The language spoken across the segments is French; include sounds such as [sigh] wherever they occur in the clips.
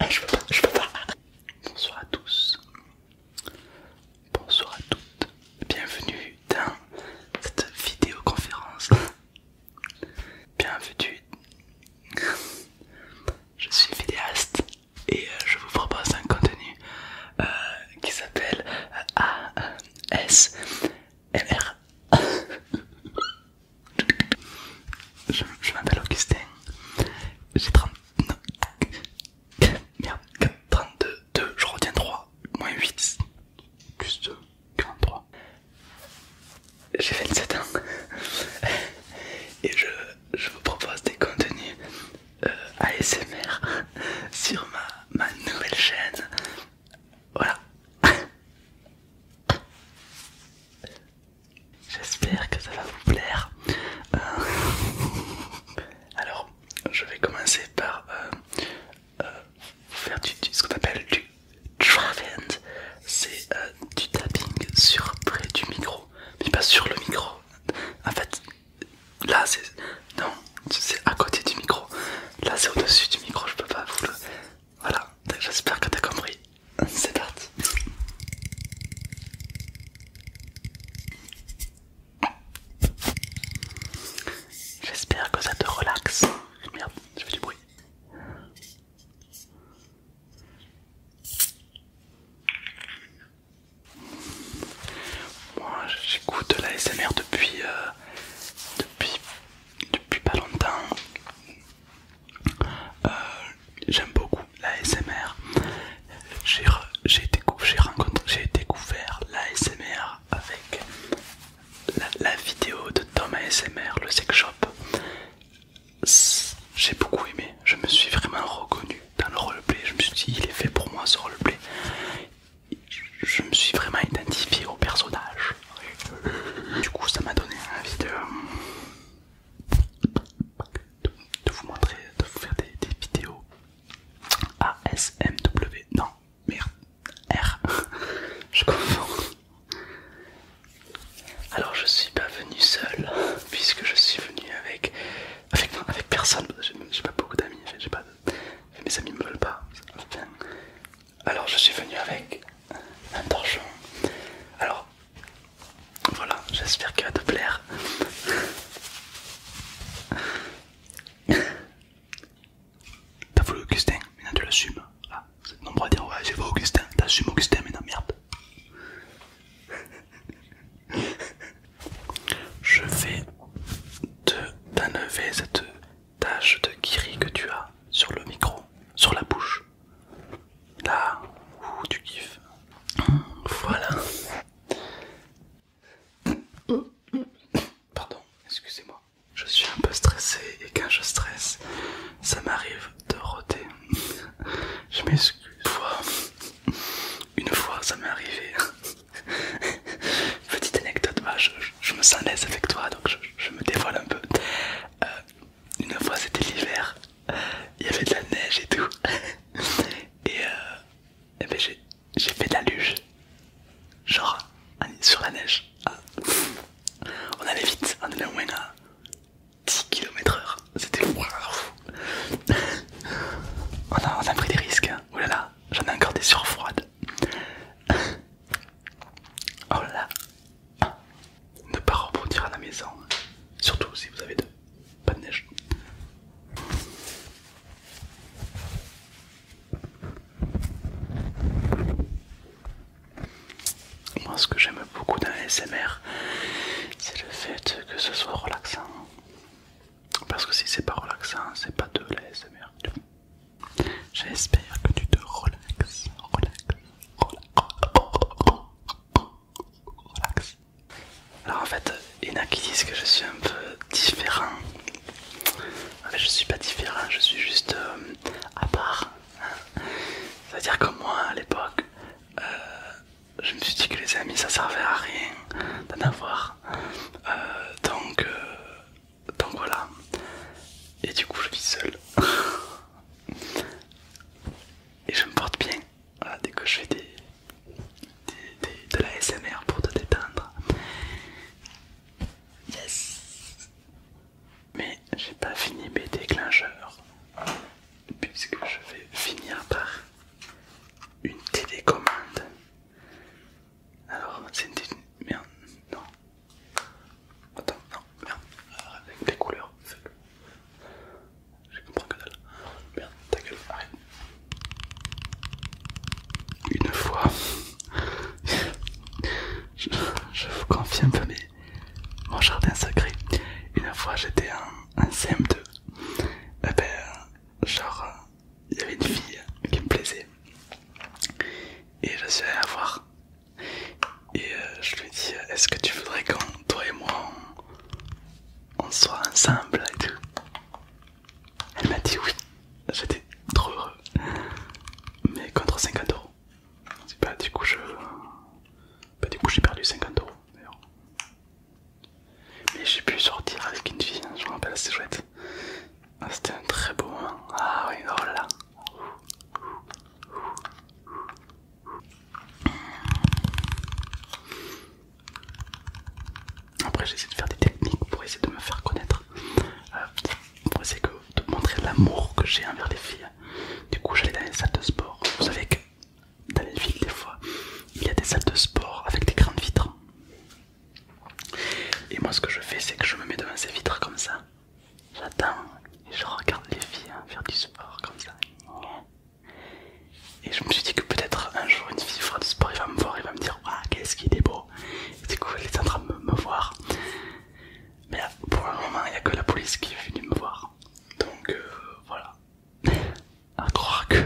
Ah, je peux pas, je Bonsoir à tous. Bonsoir à toutes. Bienvenue dans cette vidéoconférence. Bienvenue. Je suis vidéaste et euh, je vous propose un contenu euh, qui s'appelle A.S. MR [laughs] je m'appelle Augustin. J'ai 30... Merde, 32, je retiens 3, moins 8, plus 2, 43. J'ai 27 ans. [laughs] Et je, vous propose des contenus euh, ASMR [laughs] sur ma, ma nouvelle chaîne voilà. J'espère que ça va vous plaire. Euh, alors, je vais commencer par euh, euh, faire du, ce qu'on appelle du travend. C'est du tapping sur près du micro, mais pas sur le micro. En fait, là, c'est non, c'est à côté du micro. Là, c'est au-dessus du micro, je peux pas vous le. Voilà, j'espère que t'as compris. C'est parti. J'espère que ça te relaxe. Merde, je du bruit. Moi j'écoute la SMR depuis euh, depuis, depuis pas longtemps. Euh, j'aime beaucoup la SMR. J'ai découvert, découvert la SMR avec la, vidéo de Thomas ASMR, le sex shop. J'ai beaucoup aimé, je me suis vraiment reconnu dans le roleplay. Je me suis dit, il est fait pour moi ce roleplay je me suis vraiment identifié au personnage. Du coup, ça m'a donné envie de, vous montrer, de vous faire des, des vidéos ASMW. Non, merde, R. [laughs] Je confonds. Alors, je suis pas venu seul puisque je suis venu avec avec, personne. J'ai pas beaucoup d'amis, j'ai mais mes amis me veulent pas. alors je suis venu avec un torchon. Alors voilà, j'espère qu'il va te plaire. [laughs] T'as voulu Augustin, maintenant tu l'assumes. Ah, c'est nombreux à dire ouais j'ai voulu Augustin, t'assumes Augustin maintenant, merde. [laughs] Je vais te t'enlever cette tache de kiri que tu as sur le micro, sur la bouche. Là où tu kiffes. Voilà. Pardon, excusez-moi. Je suis un peu stressé et quand je stresse, ça m'arrive de roter. Je m'excuse. Une fois, ça m'est arrivé [laughs] Petite anecdote, bah, je, me sens à l'aise avec toi donc je, me dévoile un peu. Euh, une fois c'était l'hiver, il y avait de la neige et tout. [laughs] Et, euh, ben, j'ai fait de la luge, genre sur la neige. Ah, on allait vite, on allait moins à 10 km/h. C'était fou. [laughs] on, a, pris des risques. Hein. ou oh là là, j'en ai encore des surfroides. Oh là Ne pas rebondir à la maison, hein. surtout si vous avez de pas de neige. Moi ce que j'aime beaucoup dans l'ASMR, c'est le fait que ce soit relaxant. Parce que si c'est pas relaxant, c'est pas de l'ASMR. J'espère que tu te relaxes, Alors en fait, il y en a qui disent que je suis un peu différent. En fait, je suis pas différent, je suis juste euh, à part. Hein. C'est-à-dire que moi, à l'époque, euh, je me suis dit que les amis, ça servait à rien d'en avoir. Euh, donc, donc voilà. Et du coup, je vis seul. [laughs] Et je me porte bien. dès que je fais des, de la SMR pour te détendre. Yes. Mais j'ai pas fini mes déclencheurs. Puisque je vais finir par une télécommande alors, c'est une Merde, non. Attends, non, merde. Alors, avec les couleurs, Je comprends que dalle. Merde, ta gueule, arrête. Une fois. [laughs] je, vous confie un peu mais mon jardin sacré. Une fois j'étais en, CM2. Eh ben, genre il y avait une fille qui me plaisait et je suis allé la voir et euh, je lui ai dit est-ce que tu voudrais qu'on toi et moi on, soit ensemble et tout elle m'a dit oui j'étais trop heureux mais contre 50 euros pas bah, du coup je pas bah, du coup j'ai perdu 50 euros mais j'ai pu sortir avec une fille, hein, je me rappelle, c'était chouette. Ah, c'était un très beau moment. Ah oui, oh là Après, j'essaie de faire des techniques pour essayer de me faire connaître, euh, pour essayer de montrer l'amour que j'ai envers les filles. Du coup, j'allais dans les salles de sport. Vous savez que dans les villes, des fois, il y a des salles de sport avec des grandes vitres. Et moi, ce que je fais, c'est que je me mets devant ces vitres comme ça. J'attends et je regarde les filles hein, faire du sport comme ça. Et je me suis dit que peut-être un jour une fille fera du sport, il va me voir, il va me dire Waouh, qu'est-ce qu'il est beau Et du coup, elle est en train de me, voir. Mais pour le moment, il n'y a que la police qui est venue me voir. Donc euh, voilà. [laughs] à croire que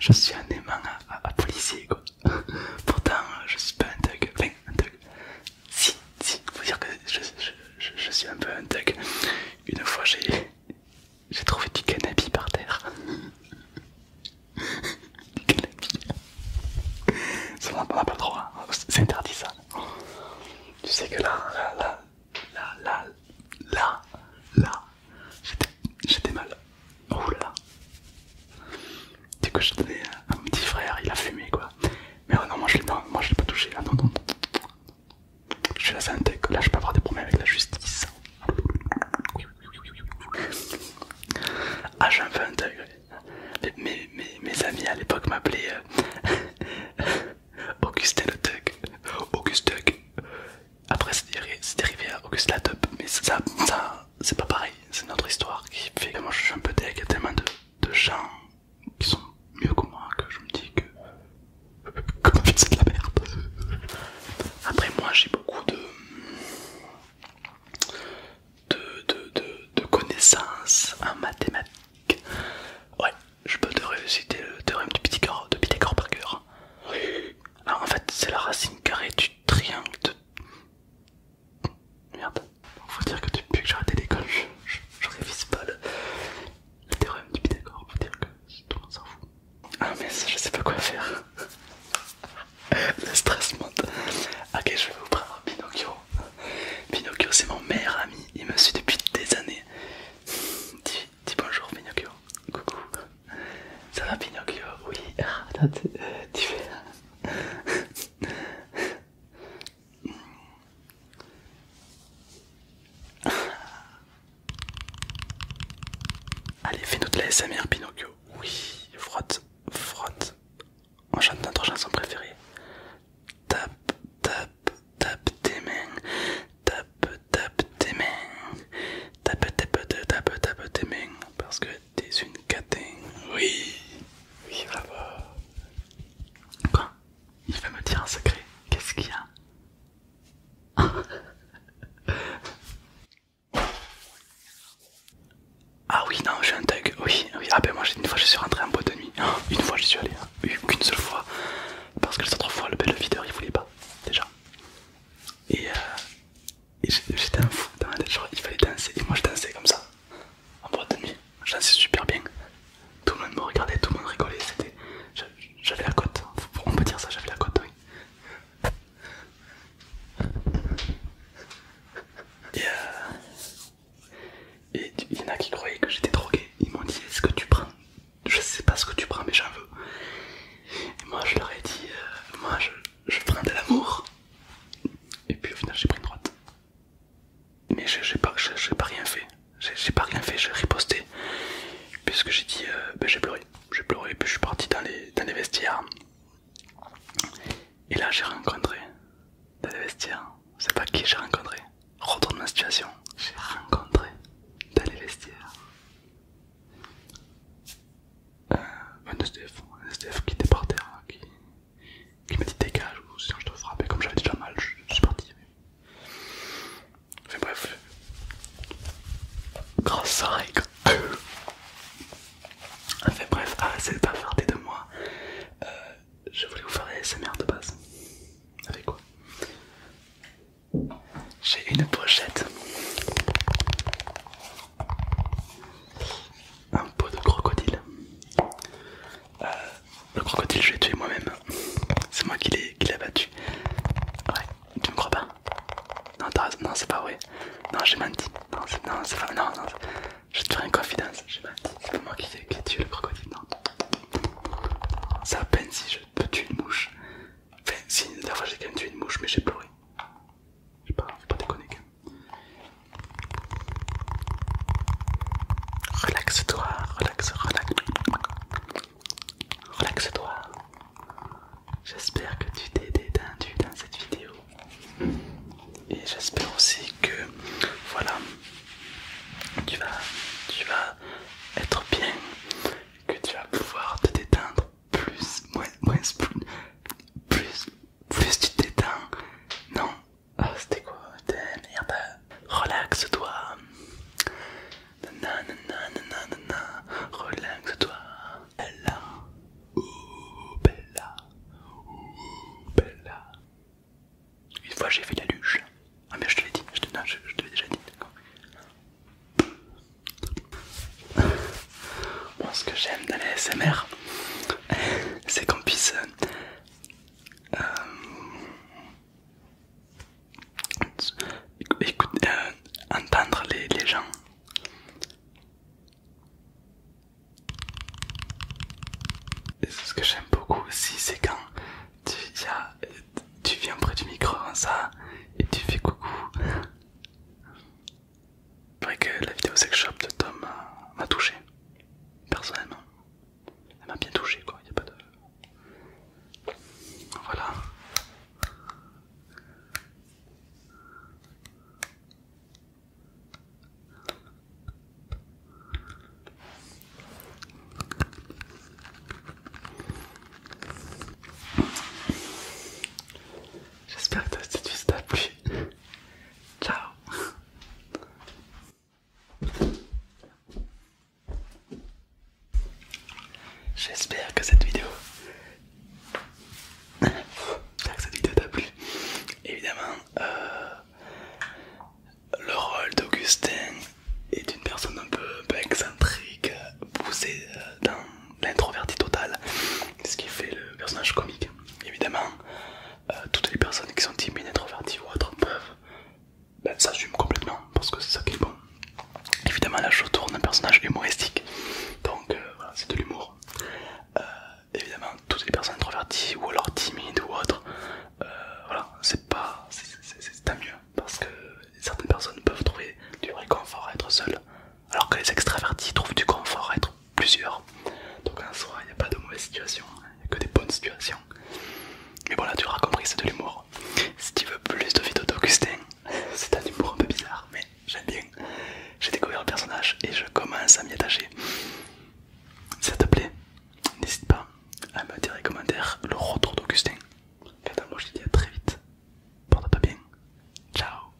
je suis un aimant à, policier quoi. [laughs] Pourtant je suis pas un thug, enfin un thug. Si, si, faut dire que je, suis un peu un thug. Une fois j'ai trouvé du cannabis par terre. [laughs] du cannabis. on n'a pas le droit, hein. c'est interdit ça. Tu sais que là, là, là, là, là, là, j'étais mal. Oula. Du coup, j'ai à un petit frère, il a fumé quoi. Mais non, moi je l'ai pas touché là, hein, non, non. Je suis saint là je peux avoir des problèmes avec la justice. Ah, j'ai un peu Mes, mes, amis à l'époque m'appelaient euh, [laughs] Augustin le Tuck. Augustin après, c'est dérivé à August mais ça, ça c'est pas pareil. C'est notre histoire qui fait que moi je suis un peu deg. Il y a tellement de, gens qui sont mieux que moi que je me dis que. Comme [laughs] fait c'est de la merde. Après, moi j'ai beaucoup de. De, de, de, connaissances en mathématiques. Ouais, je peux te réciter le théorème de Pythagore, de petit par cœur. Alors ah, en fait, c'est la racine carrée du triangle de. Merde. Faut dire que depuis que j'ai arrêté l'école, je, pas le, théorème du Pythagore. Faut dire que tout le monde s'en fout. Ah, mais ça, je sais pas quoi faire. [laughs] le stress monte. Ok, je vais vous prendre Pinocchio. Pinocchio, c'est mon meilleur ami. Il me suit depuis des années. dis bonjour, Pinocchio coucou. Ça va Pinocchio Oui, [laughs] euh, tu fais... [laughs] Allez, fais-nous de la SMR Pinocchio. Oui, frotte, frotte. On chante notre chanson préférée. Tape, tape, tape tes mains. Tape, tape tes mains, tape tape tape tape tes mains parce que t'es une catin. Oui, oui, bravo. Quoi Il va me dire un secret Qu'est-ce qu'il y a [laughs] Ah oui, non, je suis un thug. Oui, oui. Ah ben moi, une fois, je suis rentré en boîte de nuit. [gasps] Une fois, je suis allé. Hein. une Qu'une seule fois. Parce que les autres fois, le bel videur, il voulait pas. Déjà. Et euh, et j'étais un fou dans ma tête, genre il fallait danser. Et moi je dansais comme ça, en boîte de nuit. Je dansais super bien. Tout le monde me regardait, tout le monde rigolait. C'était, J'avais la cote, on peut dire ça, j'avais la cote, oui. Et, euh, et il y en a qui croyaient que j'étais drogué. Ils m'ont dit Est-ce que tu prends Je sais pas ce que tu prends, mais j'en veux moi je leur ai dit, euh, moi je, prends de l'amour. Et puis au final j'ai pris une droite. Mais j'ai pas, pas rien fait. J'ai pas rien fait, j'ai riposté. Puisque j'ai dit, euh, ben, j'ai pleuré. J'ai pleuré, puis je suis parti dans les, vestiaires. Et là j'ai rencontré, dans les vestiaires, c'est pas qui j'ai rencontré. Retourne ma situation. J'ai rencontré dans les vestiaires euh, un SDF, qui était par terre, hein, qui, qui m'a dit dégage ou sinon je te frappe et comme j'avais déjà mal, je, suis parti. Enfin bref, grâce à Rick. [coughs] Enfin bref, ah c'est pas farté de moi. Euh, je voulais vous faire des SMR de base. Avec quoi j'ai une pochette. Un pot de crocodile. Euh, le crocodile, je l'ai tué moi-même. C'est moi qui l'ai abattu. Ouais, tu me crois pas Non, non c'est pas vrai. Non, j'ai menti. Non, c'est pas Non, non, je te ferai une confidence. J'ai menti. C'est pas moi qui, ai tué le crocodile. Non. Ça peine si je peux tuer une mouche. Enfin, la fois j'ai quand même tué une mouche, mais j'ai pleuré. Je sais pas, faut pas déconner Relaxe-toi, relaxe, relaxe. Relaxe-toi. J'espère que tu t'es détendu dans cette vidéo. Et j'espère aussi que voilà tu vas tu vas être bien que tu vas pouvoir te détendre plus, moins, moins, plus, plus, tu t'étends. Non, ah, c'était quoi Merde, relaxe-toi. na relaxe-toi. Bella, ouh, Bella, ouh, Bella. Une fois j'ai fait la luge. Ah, mais je te l'ai dit, je te, non, je te l'ai déjà dit, d'accord ce que j'aime dans les SMR, c'est qu'on puisse euh, euh, euh, entendre les, gens. ce que j'aime beaucoup aussi, c'est quand tu y as tu viens près du micro hein, ça et tu fais coucou. que la vidéo sex shop de Tom m'a touché, personnellement. Elle m'a bien touché quoi, il a pas de... Voilà. J'espère que cette vidéo t'a plu. Ciao J'espère que cette vidéo... J'espère [laughs] que cette vidéo t'a plu. Évidemment, euh, le rôle d'Augustin est une personne un peu, excentrique, euh, poussée euh, dans l'introverti total ce qui fait le personnage comique. Évidemment, euh, toutes les personnes qui sont timides, introverties ou autres peuvent ben, s'assumer complètement parce que c'est ça qui est bon. Évidemment, là je tourne un personnage humoristique, donc voilà, c'est de l'humour. évidemment, toutes les personnes introverties ou alors timides ou autres, voilà, c'est pas, c'est tant mieux parce que certaines personnes peuvent trouver du réconfort à être seules, alors que les extravertis trouvent du confort à être plusieurs. Donc en soi, il n'y a pas de mauvaise situation, il n'y a que des bonnes situations. Mais voilà, tu auras compris, c'est de l'humour. Si tu veux plus de vidéos d'Augustin, [laughs] c'est un humour un peu bizarre, mais j'aime bien. J'ai découvert le personnage et je commence à m'y attacher. Si ça te plaît, n'hésite pas à me dire les commentaires le retour d'Augustin Quant de moi, je te dis à très vite. porte pas bien. Ciao.